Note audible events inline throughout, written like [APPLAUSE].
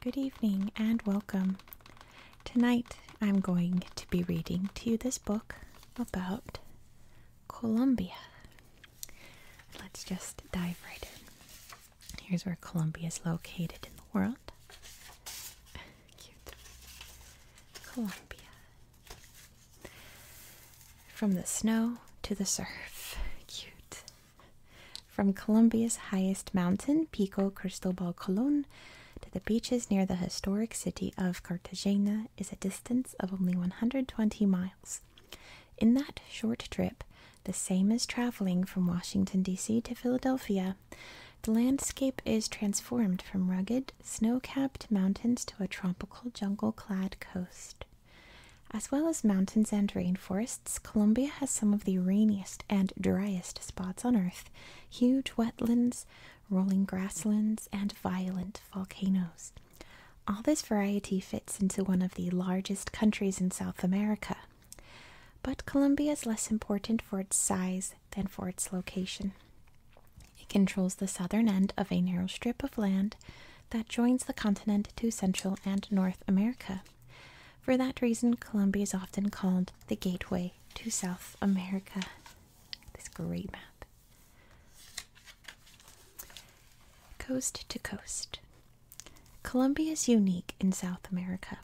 Good evening and welcome. Tonight I'm going to be reading to you this book about Colombia. Let's just dive right in. Here's where Colombia is located in the world. Vermont. [LAUGHS] Cute. Columbia. From the snow to the surf. [LAUGHS] Cute. From Colombia's highest mountain, Pico Cristobal Colon, to the beaches near the historic city of Cartagena is a distance of only 120 miles. In that short trip, the same as traveling from Washington, D.C. to Philadelphia, the landscape is transformed from rugged, snow capped mountains to a tropical jungle clad coast. As well as mountains and rainforests, Colombia has some of the rainiest and driest spots on Earth huge wetlands, rolling grasslands, and violent volcanoes. All this variety fits into one of the largest countries in South America. But Colombia is less important for its size than for its location. It controls the southern end of a narrow strip of land that joins the continent to Central and North America. For that reason, Colombia is often called the gateway to South America. This great map. Coast to coast. Colombia is unique in South America.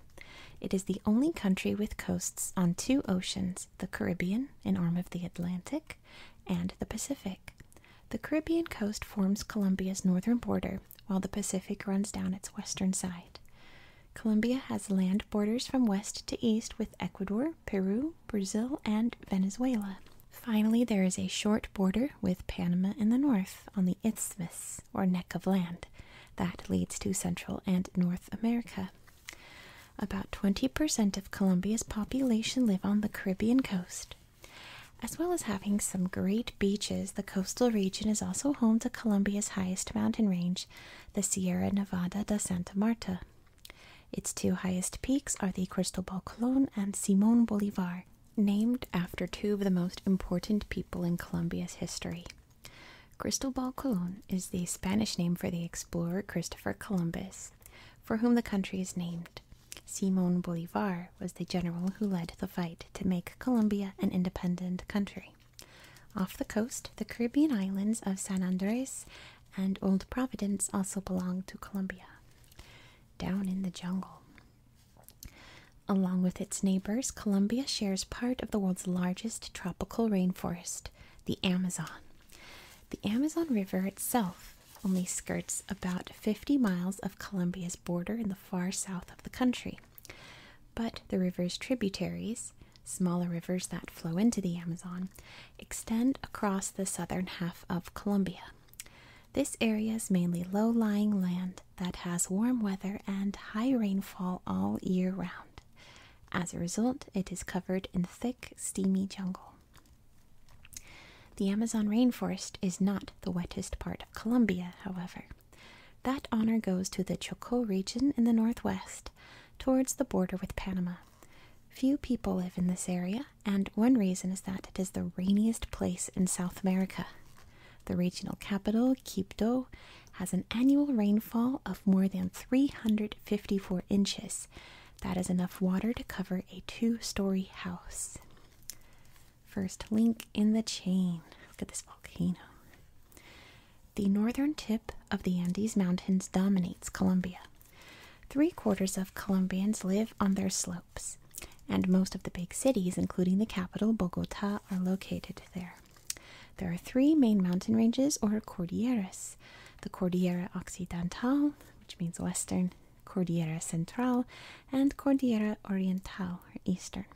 It is the only country with coasts on two oceans the Caribbean, an arm of the Atlantic, and the Pacific. The Caribbean coast forms Colombia's northern border, while the Pacific runs down its western side. Colombia has land borders from west to east with Ecuador, Peru, Brazil, and Venezuela. Finally, there is a short border with Panama in the north on the isthmus, or neck of land, that leads to Central and North America. About 20% of Colombia's population live on the Caribbean coast. As well as having some great beaches, the coastal region is also home to Colombia's highest mountain range, the Sierra Nevada de Santa Marta. Its two highest peaks are the Cristobal Colon and Simon Bolivar, named after two of the most important people in Colombia's history. Cristobal Colon is the Spanish name for the explorer Christopher Columbus, for whom the country is named. Simon Bolivar was the general who led the fight to make Colombia an independent country. Off the coast, the Caribbean islands of San Andres and Old Providence also belong to Colombia. Down in the jungle. Along with its neighbors, Colombia shares part of the world's largest tropical rainforest the Amazon. The Amazon River itself only skirts about 50 miles of Colombia's border in the far south of the country. But the river's tributaries, smaller rivers that flow into the Amazon, extend across the southern half of Colombia. This area is mainly low lying land that has warm weather and high rainfall all year round. As a result, it is covered in thick, steamy jungle. The Amazon rainforest is not the wettest part of Colombia, however. That honor goes to the Chocó region in the northwest, towards the border with Panama. Few people live in this area, and one reason is that it is the rainiest place in South America. The regional capital, Quito, has an annual rainfall of more than 354 inches. That is enough water to cover a two story house. First link in the chain. Look at this volcano. The northern tip of the Andes Mountains dominates Colombia. Three quarters of Colombians live on their slopes, and most of the big cities, including the capital, Bogota, are located there. There are three main mountain ranges or cordilleras the Cordillera Occidental, which means western, Cordillera Central, and Cordillera Oriental or eastern.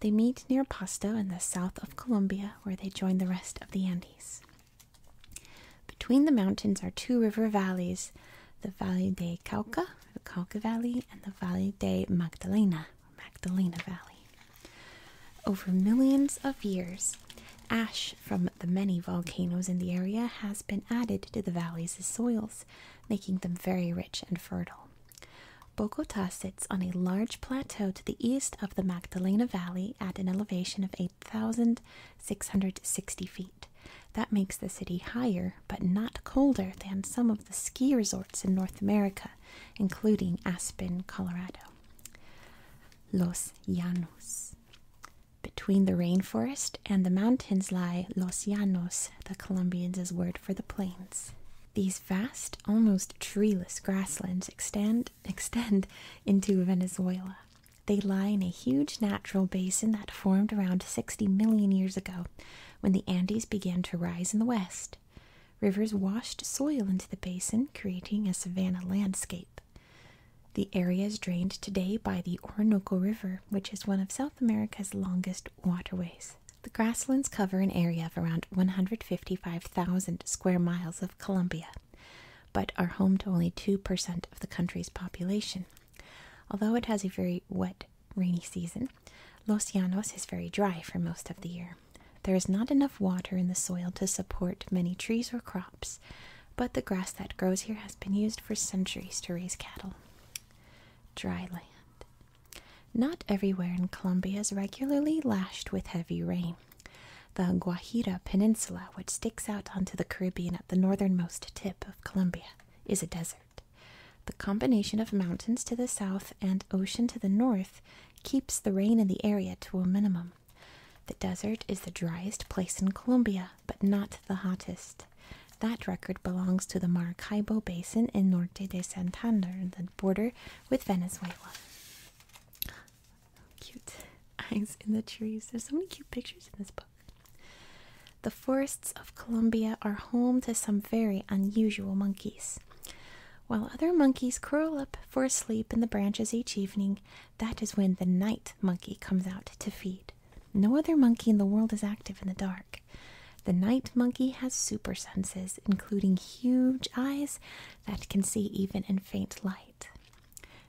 They meet near Pasto in the south of Colombia, where they join the rest of the Andes. Between the mountains are two river valleys the Valley de Cauca, the Cauca Valley, and the Valley de Magdalena. Magdalena Valley. Over millions of years, ash from the many volcanoes in the area has been added to the valley's soils, making them very rich and fertile. Bogota sits on a large plateau to the east of the Magdalena Valley at an elevation of 8,660 feet. That makes the city higher but not colder than some of the ski resorts in North America, including Aspen, Colorado. Los Llanos. Between the rainforest and the mountains lie Los Llanos, the Colombians' word for the plains. These vast, almost treeless grasslands extend, extend into Venezuela. They lie in a huge natural basin that formed around 60 million years ago when the Andes began to rise in the west. Rivers washed soil into the basin, creating a savanna landscape. The area is drained today by the Orinoco River, which is one of South America's longest waterways. The grasslands cover an area of around 155,000 square miles of Colombia, but are home to only 2% of the country's population. Although it has a very wet, rainy season, Los Llanos is very dry for most of the year. There is not enough water in the soil to support many trees or crops, but the grass that grows here has been used for centuries to raise cattle. Dry land. Not everywhere in Colombia is regularly lashed with heavy rain. The Guajira Peninsula, which sticks out onto the Caribbean at the northernmost tip of Colombia, is a desert. The combination of mountains to the south and ocean to the north keeps the rain in the area to a minimum. The desert is the driest place in Colombia, but not the hottest. That record belongs to the Maracaibo Basin in Norte de Santander, the border with Venezuela. Cute eyes in the trees. There's so many cute pictures in this book. The forests of Colombia are home to some very unusual monkeys. While other monkeys curl up for sleep in the branches each evening, that is when the night monkey comes out to feed. No other monkey in the world is active in the dark. The night monkey has super senses, including huge eyes that can see even in faint light.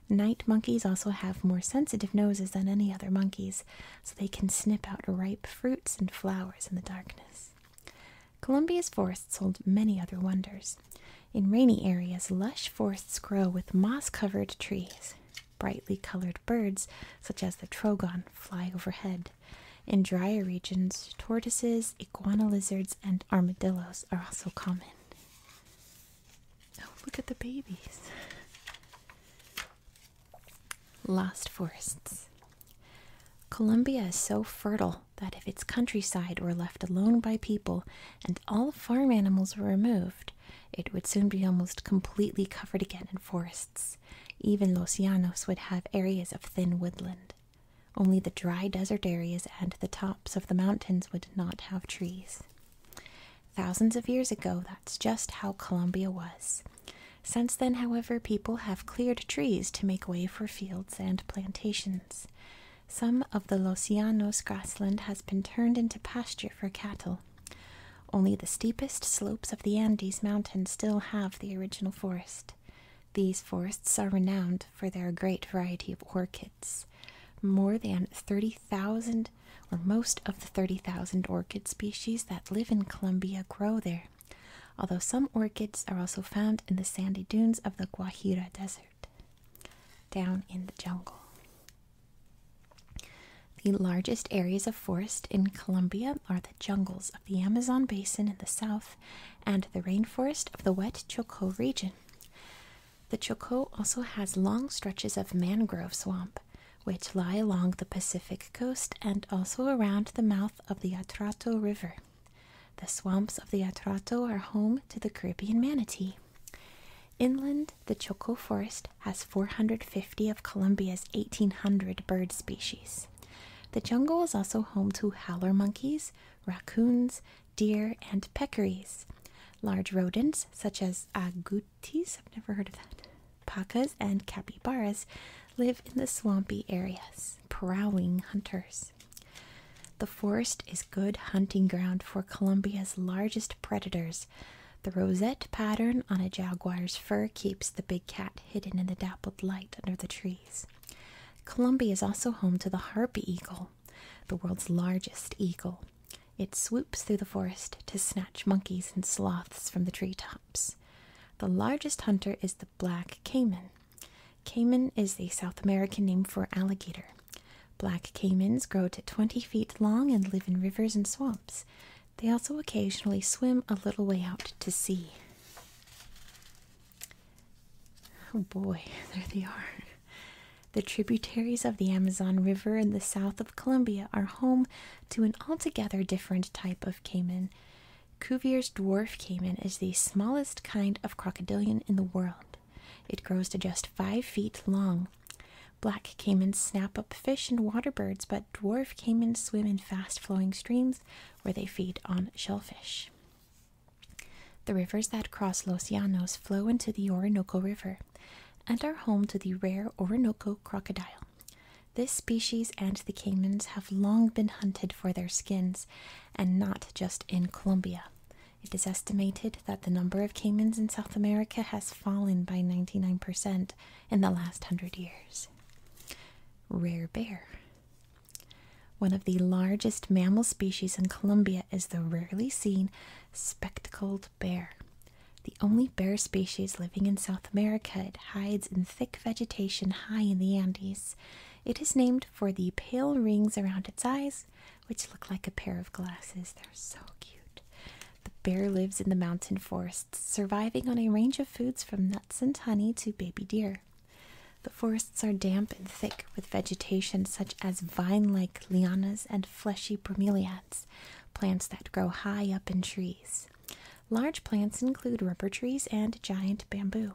Night monkeys also have more sensitive noses than any other monkeys, so they can snip out ripe fruits and flowers in the darkness. Colombia's forests hold many other wonders. In rainy areas, lush forests grow with moss covered trees. Brightly colored birds, such as the trogon, fly overhead. In drier regions, tortoises, iguana lizards, and armadillos are also common. Oh, look at the babies! Lost forests. Colombia is so fertile that if its countryside were left alone by people and all farm animals were removed, it would soon be almost completely covered again in forests. Even Los Llanos would have areas of thin woodland. Only the dry desert areas and the tops of the mountains would not have trees. Thousands of years ago, that's just how Colombia was. Since then, however, people have cleared trees to make way for fields and plantations. Some of the Los Llanos grassland has been turned into pasture for cattle. Only the steepest slopes of the Andes Mountains still have the original forest. These forests are renowned for their great variety of orchids. More than 30,000 or most of the 30,000 orchid species that live in Colombia grow there, although some orchids are also found in the sandy dunes of the Guajira Desert down in the jungle. The largest areas of forest in Colombia are the jungles of the Amazon basin in the south and the rainforest of the wet Chocó region. The Chocó also has long stretches of mangrove swamp, which lie along the Pacific coast and also around the mouth of the Atrato River. The swamps of the Atrato are home to the Caribbean manatee. Inland, the Choco Forest has 450 of Colombia's 1,800 bird species. The jungle is also home to howler monkeys, raccoons, deer, and peccaries. Large rodents such as agoutis, I've never heard of that, pacas, and capybaras live in the swampy areas, prowling hunters. The forest is good hunting ground for Colombia's largest predators. The rosette pattern on a jaguar's fur keeps the big cat hidden in the dappled light under the trees. Colombia is also home to the harpy eagle, the world's largest eagle. It swoops through the forest to snatch monkeys and sloths from the tree tops. The largest hunter is the black caiman, Caiman is the South American name for alligator. Black caimans grow to 20 feet long and live in rivers and swamps. They also occasionally swim a little way out to sea. Oh boy, [LAUGHS] there they are. The tributaries of the Amazon River in the south of Colombia are home to an altogether different type of caiman. Cuvier's dwarf caiman is the smallest kind of crocodilian in the world. It grows to just five feet long. Black caimans snap up fish and water birds, but dwarf caimans swim in fast flowing streams where they feed on shellfish. The rivers that cross Los Llanos flow into the Orinoco River and are home to the rare Orinoco crocodile. This species and the caimans have long been hunted for their skins, and not just in Colombia. It is estimated that the number of caimans in South America has fallen by 99% in the last hundred years. Rare bear. One of the largest mammal species in Colombia is the rarely seen spectacled bear. The only bear species living in South America, it hides in thick vegetation high in the Andes. It is named for the pale rings around its eyes which look like a pair of glasses. They're so cute. The bear lives in the mountain forests, surviving on a range of foods from nuts and honey to baby deer. The forests are damp and thick with vegetation such as vine like lianas and fleshy bromeliads, plants that grow high up in trees. Large plants include rubber trees and giant bamboo.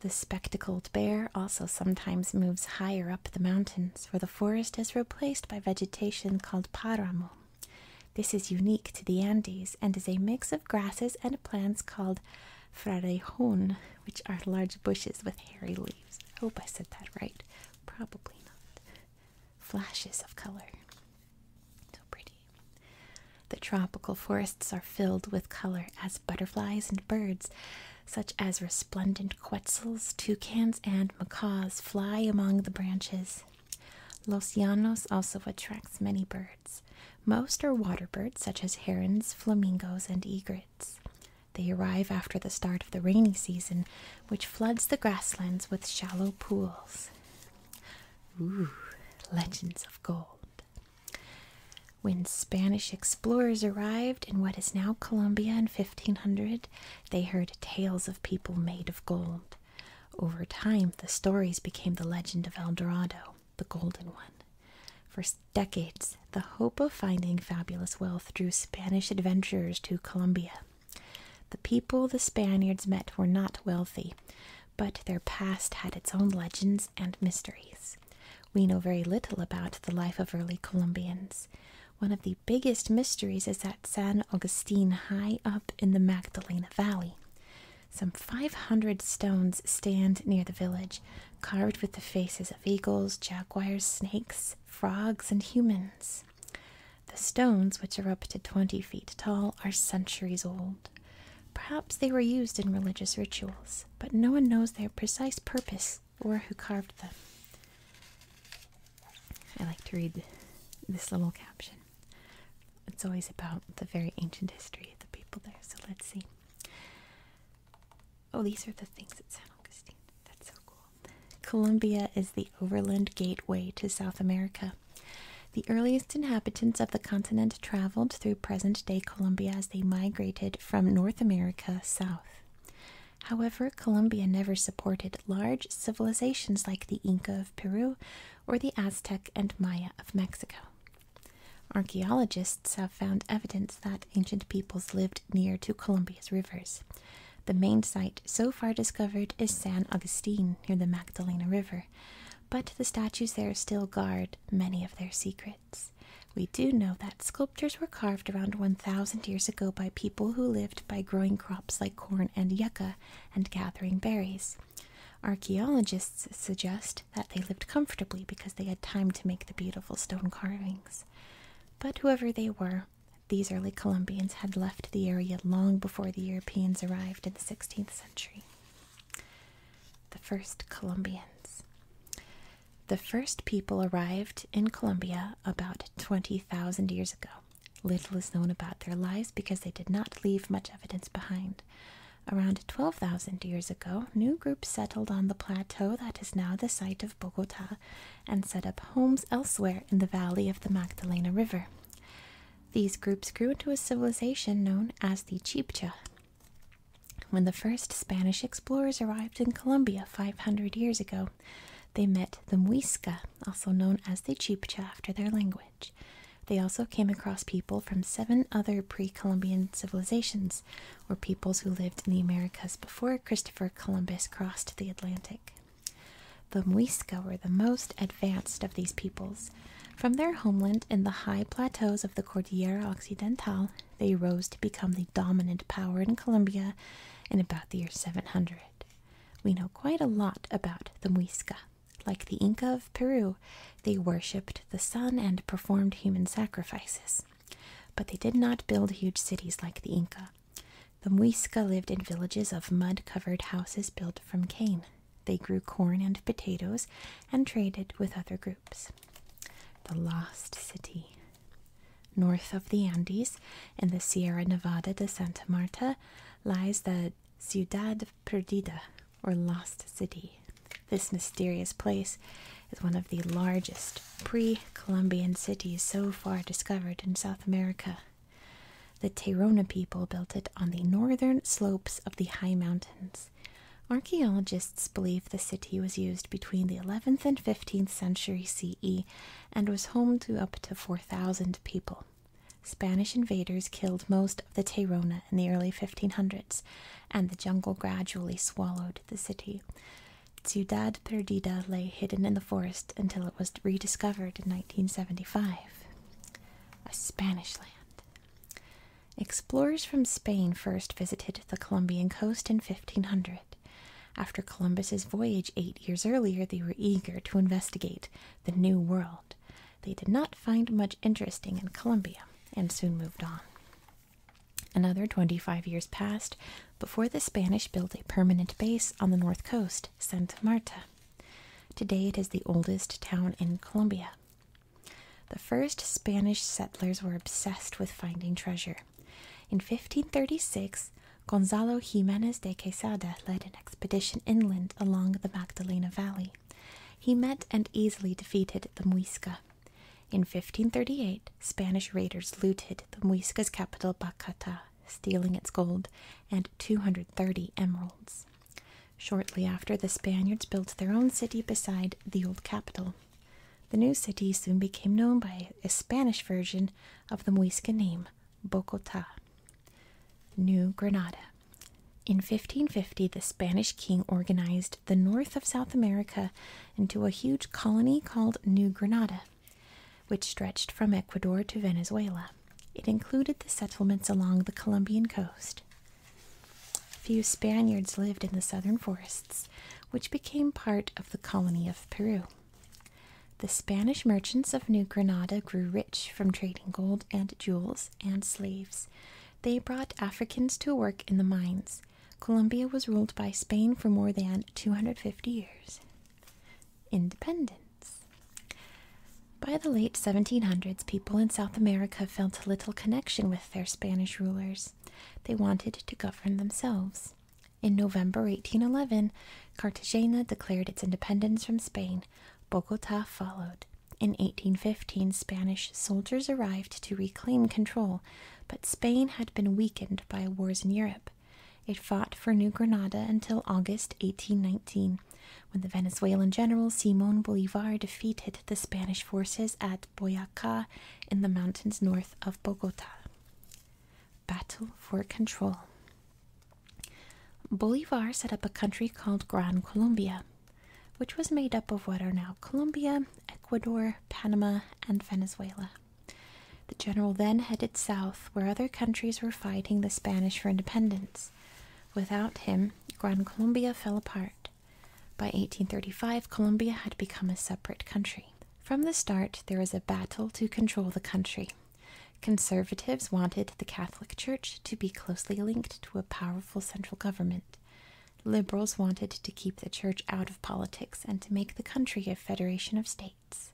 The spectacled bear also sometimes moves higher up the mountains, where the forest is replaced by vegetation called paramo. This is unique to the Andes and is a mix of grasses and plants called frarejon, which are large bushes with hairy leaves. I hope I said that right. Probably not. Flashes of color. So pretty. The tropical forests are filled with color as butterflies and birds, such as resplendent quetzals, toucans, and macaws, fly among the branches. Los Llanos also attracts many birds. Most are water birds, such as herons, flamingos, and egrets. They arrive after the start of the rainy season, which floods the grasslands with shallow pools. Ooh, legends of gold. When Spanish explorers arrived in what is now Colombia in 1500, they heard tales of people made of gold. Over time, the stories became the legend of El Dorado, the Golden One. For decades, the hope of finding fabulous wealth drew Spanish adventurers to Colombia. The people the Spaniards met were not wealthy, but their past had its own legends and mysteries. We know very little about the life of early Colombians. One of the biggest mysteries is at San Agustín, high up in the Magdalena Valley. Some 500 stones stand near the village, carved with the faces of eagles, jaguars, snakes, frogs, and humans. The stones, which are up to 20 feet tall, are centuries old. Perhaps they were used in religious rituals but no one knows their precise purpose or who carved them. I like to read this little caption. It's always about the very ancient history of the people there, so let's see. Oh, these are the things at San Augustine. That's so cool. Colombia is the overland gateway to South America. The earliest inhabitants of the continent traveled through present day Colombia as they migrated from North America south. However, Colombia never supported large civilizations like the Inca of Peru or the Aztec and Maya of Mexico. Archaeologists have found evidence that ancient peoples lived near to Colombia's rivers. The main site so far discovered is San Agustin near the Magdalena River, but the statues there still guard many of their secrets. We do know that sculptures were carved around 1,000 years ago by people who lived by growing crops like corn and yucca and gathering berries. Archaeologists suggest that they lived comfortably because they had time to make the beautiful stone carvings. But whoever they were, these early Colombians had left the area long before the Europeans arrived in the 16th century. The first Colombians. The first people arrived in Colombia about 20,000 years ago. Little is known about their lives because they did not leave much evidence behind. Around 12,000 years ago, new groups settled on the plateau that is now the site of Bogota and set up homes elsewhere in the valley of the Magdalena River. These groups grew into a civilization known as the Chibcha when the first Spanish explorers arrived in Colombia 500 years ago, they met the Muisca, also known as the Chibcha after their language. They also came across people from seven other pre Columbian civilizations, or peoples who lived in the Americas before Christopher Columbus crossed the Atlantic. The Muisca were the most advanced of these peoples. From their homeland in the high plateaus of the Cordillera Occidental they rose to become the dominant power in Colombia in about the year 700. We know quite a lot about the Muisca. Like the Inca of Peru, they worshipped the sun and performed human sacrifices. But they did not build huge cities like the Inca. The Muisca lived in villages of mud covered houses built from cane. They grew corn and potatoes and traded with other groups the Lost City. North of the Andes, in the Sierra Nevada de Santa Marta, lies the Ciudad Perdida, or Lost City. This mysterious place is one of the largest pre Columbian cities so far discovered in South America. The Tairona people built it on the northern slopes of the high mountains. Archaeologists believe the city was used between the 11th and 15th century CE and was home to up to 4,000 people. Spanish invaders killed most of the Tairona in the early 1500s, and the jungle gradually swallowed the city. Ciudad Perdida lay hidden in the forest until it was rediscovered in 1975. A Spanish land. Explorers from Spain first visited the Colombian coast in 1500. After Columbus's voyage eight years earlier, they were eager to investigate the New World. They did not find much interesting in Colombia and soon moved on. Another 25 years passed before the Spanish built a permanent base on the north coast, Santa Marta. Today it is the oldest town in Colombia. The first Spanish settlers were obsessed with finding treasure. In 1536, Gonzalo Jimenez de Quesada led an expedition inland along the Magdalena Valley. He met and easily defeated the Muisca. In 1538, Spanish raiders looted the Muisca's capital, Bacata, stealing its gold and 230 emeralds. Shortly after, the Spaniards built their own city beside the old capital. The new city soon became known by a Spanish version of the Muisca name, Bogota. New Granada. In 1550, the Spanish king organized the north of South America into a huge colony called New Granada, which stretched from Ecuador to Venezuela. It included the settlements along the Colombian coast. Few Spaniards lived in the southern forests, which became part of the colony of Peru. The Spanish merchants of New Granada grew rich from trading gold and jewels and slaves. They brought Africans to work in the mines. Colombia was ruled by Spain for more than 250 years. Independence. By the late 1700s, people in South America felt little connection with their Spanish rulers. They wanted to govern themselves. In November 1811, Cartagena declared its independence from Spain. Bogota followed. In 1815, Spanish soldiers arrived to reclaim control, but Spain had been weakened by wars in Europe. It fought for New Granada until August 1819, when the Venezuelan general Simon Bolivar defeated the Spanish forces at at Boyaca in the mountains north of Bogota. Battle for control. Bolivar set up a country called Gran Colombia, which was made up of what are now Colombia, Ecuador, Panama, and Venezuela. The general then headed south, where other countries were fighting the Spanish for independence. Without him, Gran Colombia fell apart. By 1835, Colombia had become a separate country. From the start, there was a battle to control the country. Conservatives wanted the Catholic Church to be closely linked to a powerful central government. Liberals wanted to keep the church out of politics and to make the country a federation of states.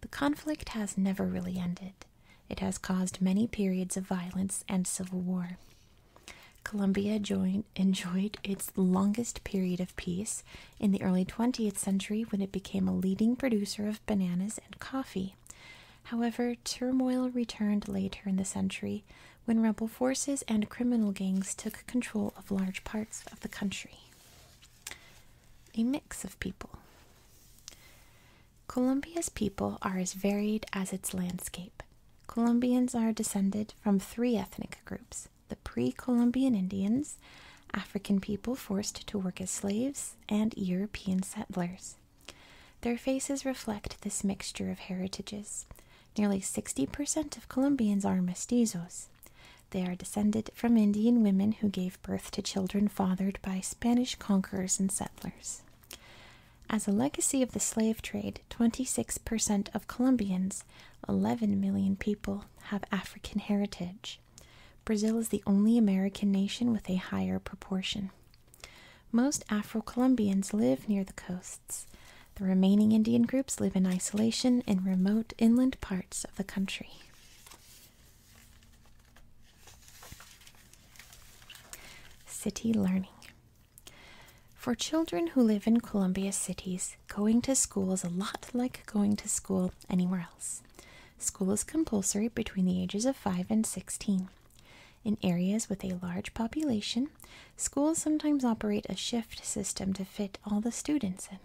The conflict has never really ended. It has caused many periods of violence and civil war. Colombia enjoyed its longest period of peace in the early 20th century when it became a leading producer of bananas and coffee. However, turmoil returned later in the century when rebel forces and criminal gangs took control of large parts of the country. A mix of people. Colombia's people are as varied as its landscape. Colombians are descended from three ethnic groups the pre Columbian Indians, African people forced to work as slaves, and European settlers. Their faces reflect this mixture of heritages. Nearly 60% of Colombians are mestizos. They are descended from Indian women who gave birth to children fathered by Spanish conquerors and settlers. As a legacy of the slave trade, 26% of Colombians, 11 million people, have African heritage. Brazil is the only American nation with a higher proportion. Most Afro Colombians live near the coasts. The remaining Indian groups live in isolation in remote inland parts of the country. City learning. For children who live in Columbia cities, going to school is a lot like going to school anywhere else. School is compulsory between the ages of 5 and 16. In areas with a large population, schools sometimes operate a shift system to fit all the students in.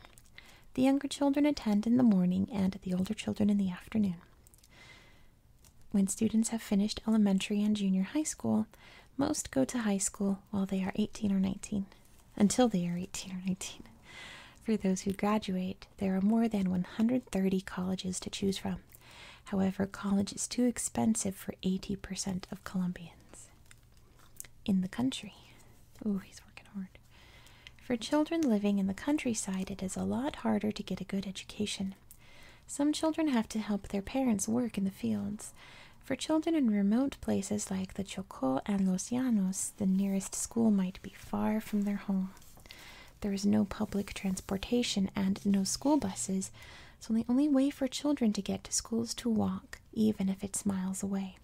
The younger children attend in the morning and the older children in the afternoon. When students have finished elementary and junior high school, most go to high school while they are 18 or 19 until they are 18 or 19. For those who graduate, there are more than 130 colleges to choose from. However, college is too expensive for 80% of Colombians in the country. oh, he's working hard. For children living in the countryside, it is a lot harder to get a good education. Some children have to help their parents work in the fields, for children in remote places like the Chocó and Los Llanos, the nearest school might be far from their home. There is no public transportation and no school buses, so the only way for children to get to schools to walk, even if it's miles away.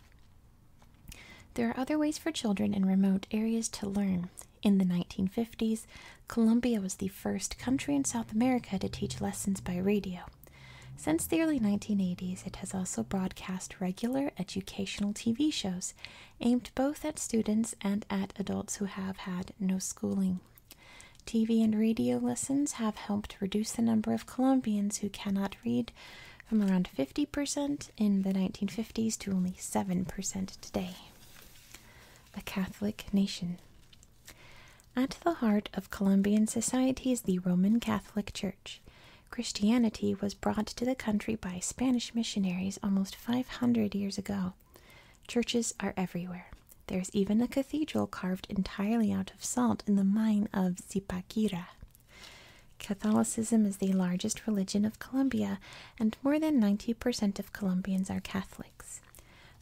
There are other ways for children in remote areas to learn. In the 1950s, Colombia was the first country in South America to teach lessons by radio. Since the early 1980s, it has also broadcast regular educational TV shows aimed both at students and at adults who have had no schooling. TV and radio lessons have helped reduce the number of Colombians who cannot read from around 50% in the 1950s to only 7% today. A Catholic Nation. At the heart of Colombian society is the Roman Catholic Church. Christianity was brought to the country by Spanish missionaries almost 500 years ago. Churches are everywhere. There's even a cathedral carved entirely out of salt in the mine of Zipaquira. Catholicism is the largest religion of Colombia, and more than 90% of Colombians are Catholics.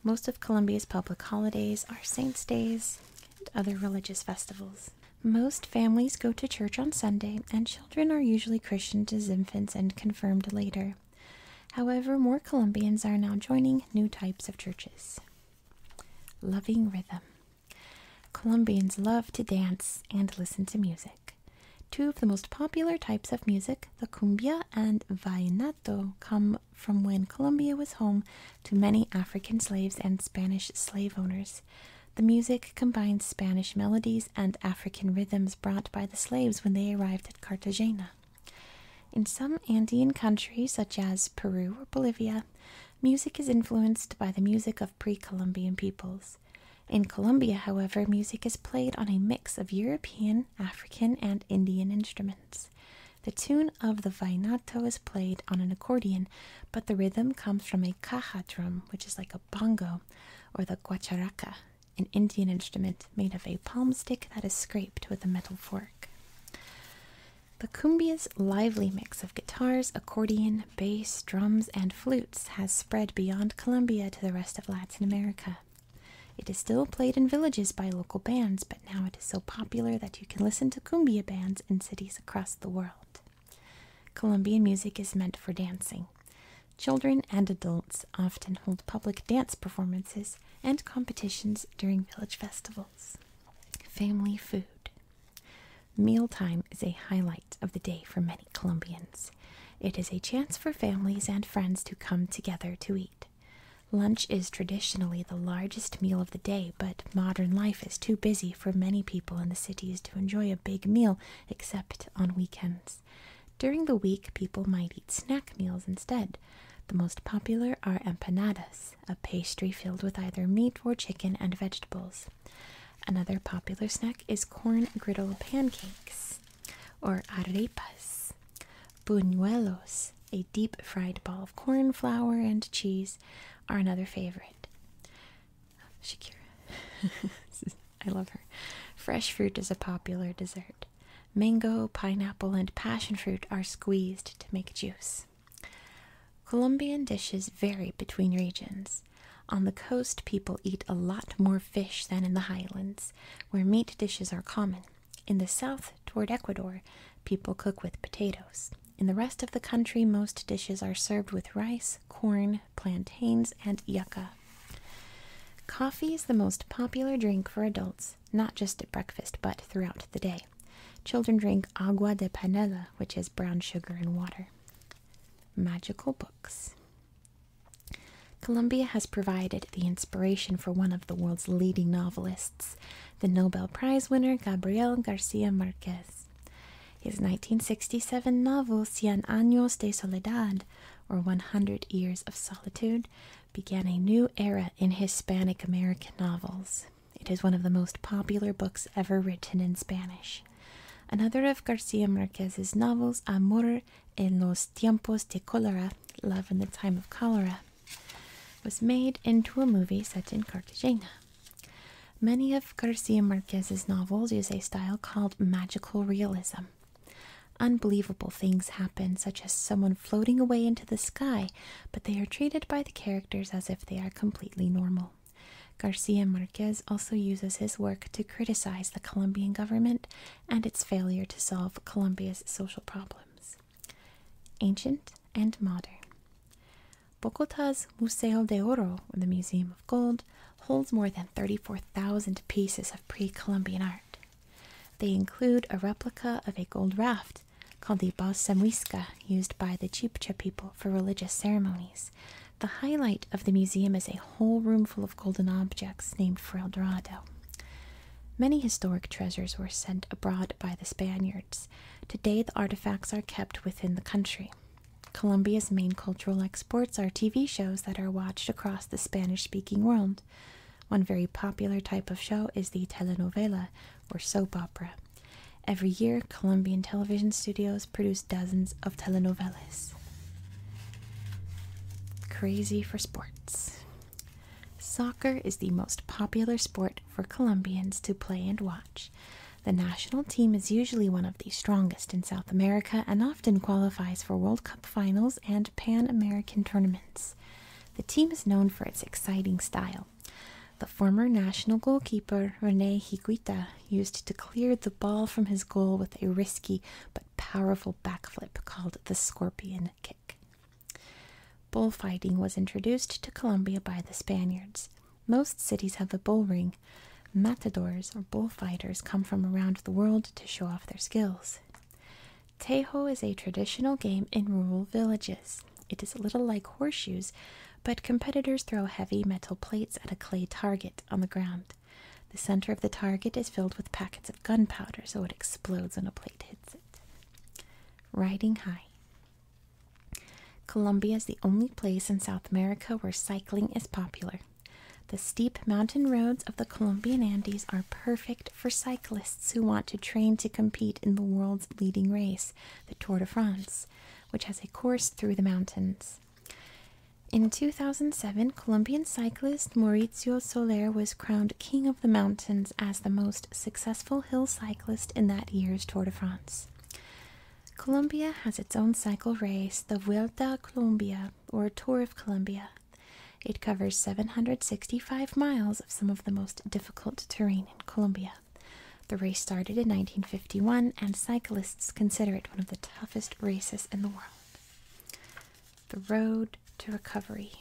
Most of Colombia's public holidays are saints' days, and other religious festivals. Most families go to church on Sunday, and children are usually christened as infants and confirmed later. However, more Colombians are now joining new types of churches. Loving rhythm. Colombians love to dance and listen to music. Two of the most popular types of music, the cumbia and vallenato, come from when Colombia was home to many African slaves and Spanish slave owners. The music combines Spanish melodies and African rhythms brought by the slaves when they arrived at Cartagena. In some Andean countries, such as Peru or Bolivia, music is influenced by the music of pre Columbian peoples. In Colombia, however, music is played on a mix of European, African, and Indian instruments. The tune of the vainato is played on an accordion, but the rhythm comes from a caja drum, which is like a bongo, or the guacharaca, an Indian instrument made of a palm stick that is scraped with a metal fork. The cumbia's lively mix of guitars, accordion, bass, drums, and flutes has spread beyond Colombia to the rest of Latin America. It is still played in villages by local bands, but now it is so popular that you can listen to cumbia bands in cities across the world. Colombian music is meant for dancing. Children and adults often hold public dance performances and competitions during village festivals. Family food. Mealtime is a highlight of the day for many Colombians. It is a chance for families and friends to come together to eat. Lunch is traditionally the largest meal of the day, but modern life is too busy for many people in the cities to enjoy a big meal except on weekends. During the week, people might eat snack meals instead. The most popular are empanadas, a pastry filled with either meat or chicken and vegetables. Another popular snack is corn griddle pancakes, or arepas. Buñuelos, a deep fried ball of corn flour and cheese are another favorite. Shakira. [LAUGHS] I love her. Fresh fruit is a popular dessert. Mango, pineapple, and passion fruit are squeezed to make juice. Colombian dishes vary between regions. On the coast, people eat a lot more fish than in the highlands, where meat dishes are common. In the south, toward Ecuador, people cook with potatoes. In the rest of the country, most dishes are served with rice, corn, plantains, and yucca. Coffee is the most popular drink for adults, not just at breakfast, but throughout the day. Children drink agua de panela, which is brown sugar and water. Magical books. Colombia has provided the inspiration for one of the world's leading novelists, the Nobel Prize winner Gabriel Garcia Marquez. His 1967 novel Cien Años de Soledad, or 100 Years of Solitude, began a new era in Hispanic American novels. It is one of the most popular books ever written in Spanish. Another of Garcia Marquez's novels, Amor en los tiempos de cólera, Love in the Time of Cholera, was made into a movie set in Cartagena. Many of Garcia Marquez's novels use a style called magical realism. Unbelievable things happen, such as someone floating away into the sky, but they are treated by the characters as if they are completely normal. Garcia Marquez also uses his work to criticize the Colombian government and its failure to solve Colombia's social problems. Ancient and Modern Bogota's Museo de Oro, or the Museum of Gold, holds more than 34,000 pieces of pre Columbian art. They include a replica of a gold raft called the Balsamuisca, used by the Chibcha people for religious ceremonies. The highlight of the museum is a whole room full of golden objects named for El Dorado. Many historic treasures were sent abroad by the Spaniards. Today, the artifacts are kept within the country. Colombia's main cultural exports are TV shows that are watched across the Spanish speaking world. One very popular type of show is the telenovela, or soap opera. Every year, Colombian television studios produce dozens of telenovelas. Crazy for sports. Soccer is the most popular sport for Colombians to play and watch. The national team is usually one of the strongest in South America and often qualifies for World Cup finals and Pan American tournaments. The team is known for its exciting style. The former national goalkeeper Rene Higuita used to clear the ball from his goal with a risky but powerful backflip called the scorpion kick. Bullfighting was introduced to Colombia by the Spaniards. Most cities have a bullring. Matadors or bullfighters come from around the world to show off their skills. Tejo is a traditional game in rural villages. It is a little like horseshoes, but competitors throw heavy metal plates at a clay target on the ground. The center of the target is filled with packets of gunpowder, so it explodes when a plate hits it. Riding high. Colombia is the only place in South America where cycling is popular. The steep mountain roads of the Colombian Andes are perfect for cyclists who want to train to compete in the world's leading race, the Tour de France, which has a course through the mountains. In 2007, Colombian cyclist Mauricio Soler was crowned King of the Mountains as the most successful hill cyclist in that year's Tour de France. Colombia has its own cycle race, the Vuelta a Colombia, or Tour of Colombia. It covers 765 miles of some of the most difficult terrain in Colombia. The race started in 1951, and cyclists consider it one of the toughest races in the world. The Road to Recovery.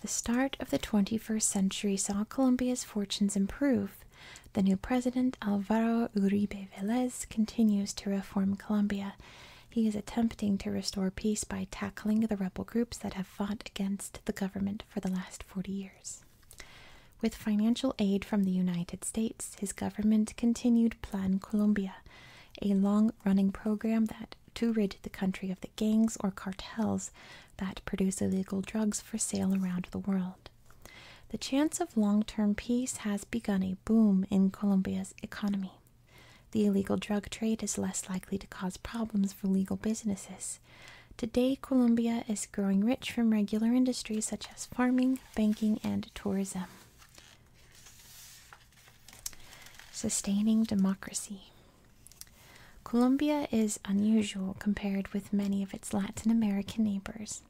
The start of the 21st century saw Colombia's fortunes improve the new president, Alvaro Uribe Velez, continues to reform Colombia. He is attempting to restore peace by tackling the rebel groups that have fought against the government for the last 40 years. With financial aid from the United States, his government continued Plan Colombia, a long running program that to rid the country of the gangs or cartels that produce illegal drugs for sale around the world. The chance of long term peace has begun a boom in Colombia's economy. The illegal drug trade is less likely to cause problems for legal businesses. Today, Colombia is growing rich from regular industries such as farming, banking, and tourism. Sustaining democracy. Colombia is unusual compared with many of its Latin American neighbors.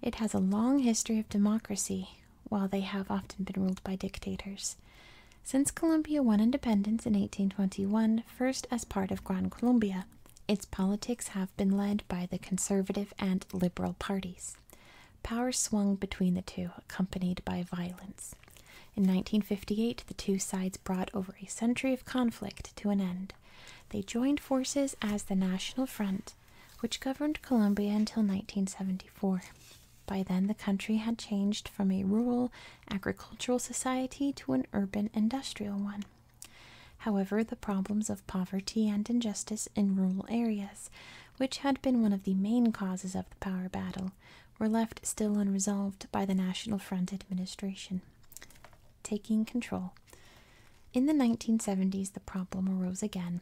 It has a long history of democracy, while they have often been ruled by dictators. Since Colombia won independence in 1821, first as part of Gran Colombia, its politics have been led by the conservative and liberal parties. Power swung between the two, accompanied by violence. In 1958, the two sides brought over a century of conflict to an end. They joined forces as the National Front, which governed Colombia until 1974. By then, the country had changed from a rural agricultural society to an urban industrial one. However, the problems of poverty and injustice in rural areas, which had been one of the main causes of the power battle, were left still unresolved by the National Front administration taking control. In the 1970s, the problem arose again.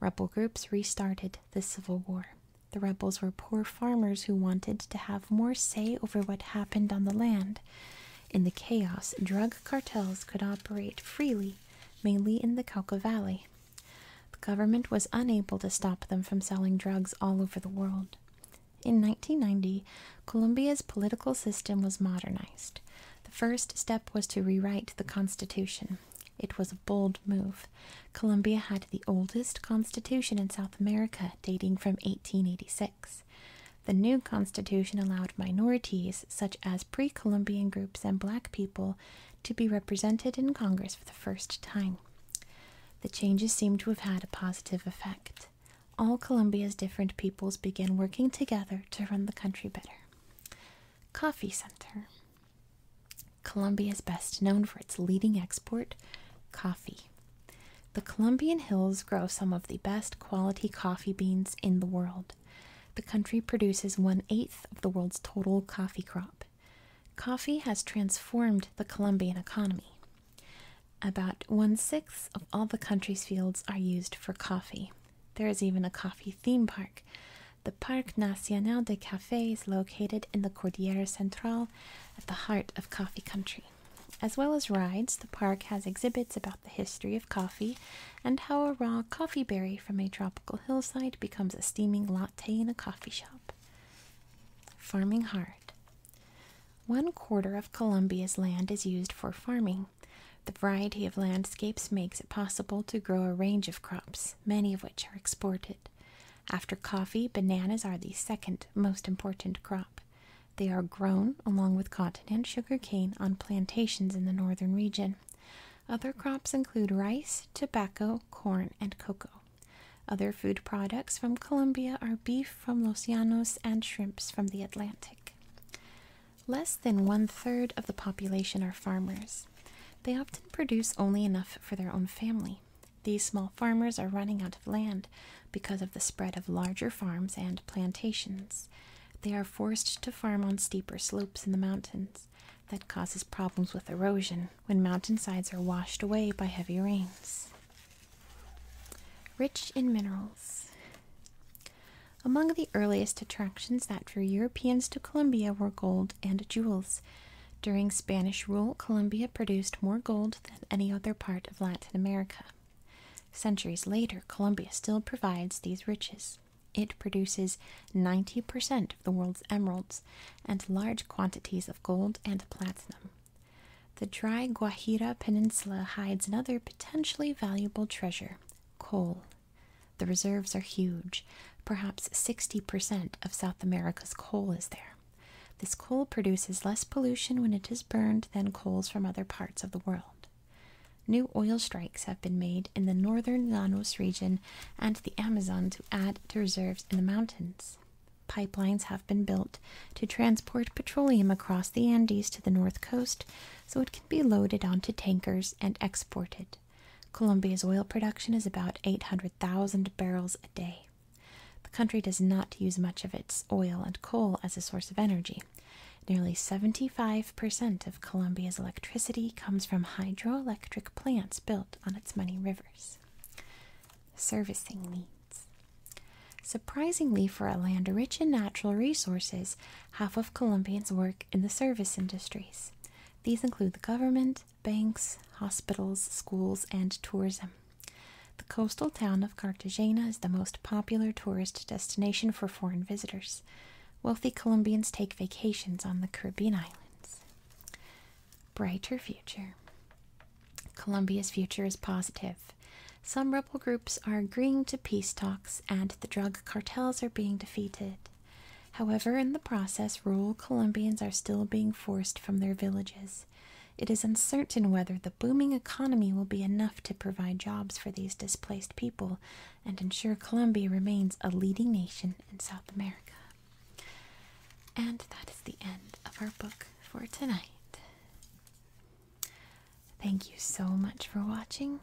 Rebel groups restarted the Civil War. The rebels were poor farmers who wanted to have more say over what happened on the land. In the chaos, drug cartels could operate freely, mainly in the Cauca Valley. The government was unable to stop them from selling drugs all over the world. In 1990, Colombia's political system was modernized. The first step was to rewrite the Constitution. It was a bold move. Colombia had the oldest constitution in South America, dating from 1886. The new constitution allowed minorities, such as pre Columbian groups and black people, to be represented in Congress for the first time. The changes seem to have had a positive effect all Colombia's different peoples began working together to run the country better. Coffee Center. Colombia is best known for its leading export, coffee. The Colombian hills grow some of the best quality coffee beans in the world. The country produces one eighth of the world's total coffee crop. Coffee has transformed the Colombian economy. About one sixth of all the country's fields are used for coffee. There is even a coffee theme park. The Parc National des Cafés is located in the Cordillera Central at the heart of coffee country. As well as rides, the park has exhibits about the history of coffee and how a raw coffee berry from a tropical hillside becomes a steaming latte in a coffee shop. Farming hard. One quarter of Colombia's land is used for farming. The variety of landscapes makes it possible to grow a range of crops, many of which are exported. After coffee, bananas are the second most important crop. They are grown, along with cotton and sugar cane on plantations in the northern region. Other crops include rice, tobacco, corn, and cocoa. Other food products from Colombia are beef from Los Llanos and shrimps from the Atlantic. Less than one third of the population are farmers. They often produce only enough for their own family. These small farmers are running out of land because of the spread of larger farms and plantations. They are forced to farm on steeper slopes in the mountains. That causes problems with erosion when mountainsides are washed away by heavy rains. Rich in minerals. Among the earliest attractions that drew Europeans to Colombia were gold and jewels. During Spanish rule, Colombia produced more gold than any other part of Latin America. Centuries later, Colombia still provides these riches. It produces 90% of the world's emeralds and large quantities of gold and platinum. The dry Guajira Peninsula hides another potentially valuable treasure coal. The reserves are huge. Perhaps 60% of South America's coal is there. This coal produces less pollution when it is burned than coals from other parts of the world. New oil strikes have been made in the northern Llanos region and the Amazon to add to reserves in the mountains. Pipelines have been built to transport petroleum across the Andes to the north coast so it can be loaded onto tankers and exported. Colombia's oil production is about 800,000 barrels a day. The country does not use much of its oil and coal as a source of energy. Nearly 75% of Colombia's electricity comes from hydroelectric plants built on its many rivers. Servicing needs. Surprisingly for a land rich in natural resources, half of Colombians work in the service industries. These include the government, banks, hospitals, schools, and tourism. The coastal town of Cartagena is the most popular tourist destination for foreign visitors. Wealthy Colombians take vacations on the Caribbean islands. Brighter future. Colombia's future is positive. Some rebel groups are agreeing to peace talks, and the drug cartels are being defeated. However, in the process, rural Colombians are still being forced from their villages. It is uncertain whether the booming economy will be enough to provide jobs for these displaced people and ensure Colombia remains a leading nation in South America. And that is the end of our book for tonight. Thank you so much for watching.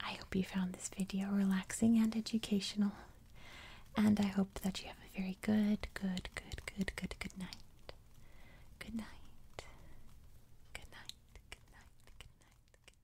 I hope you found this video relaxing and educational. And I hope that you have a very good, good, good, good, good, good night. Good night. Good night. Good night. Good night. Good night. Good night.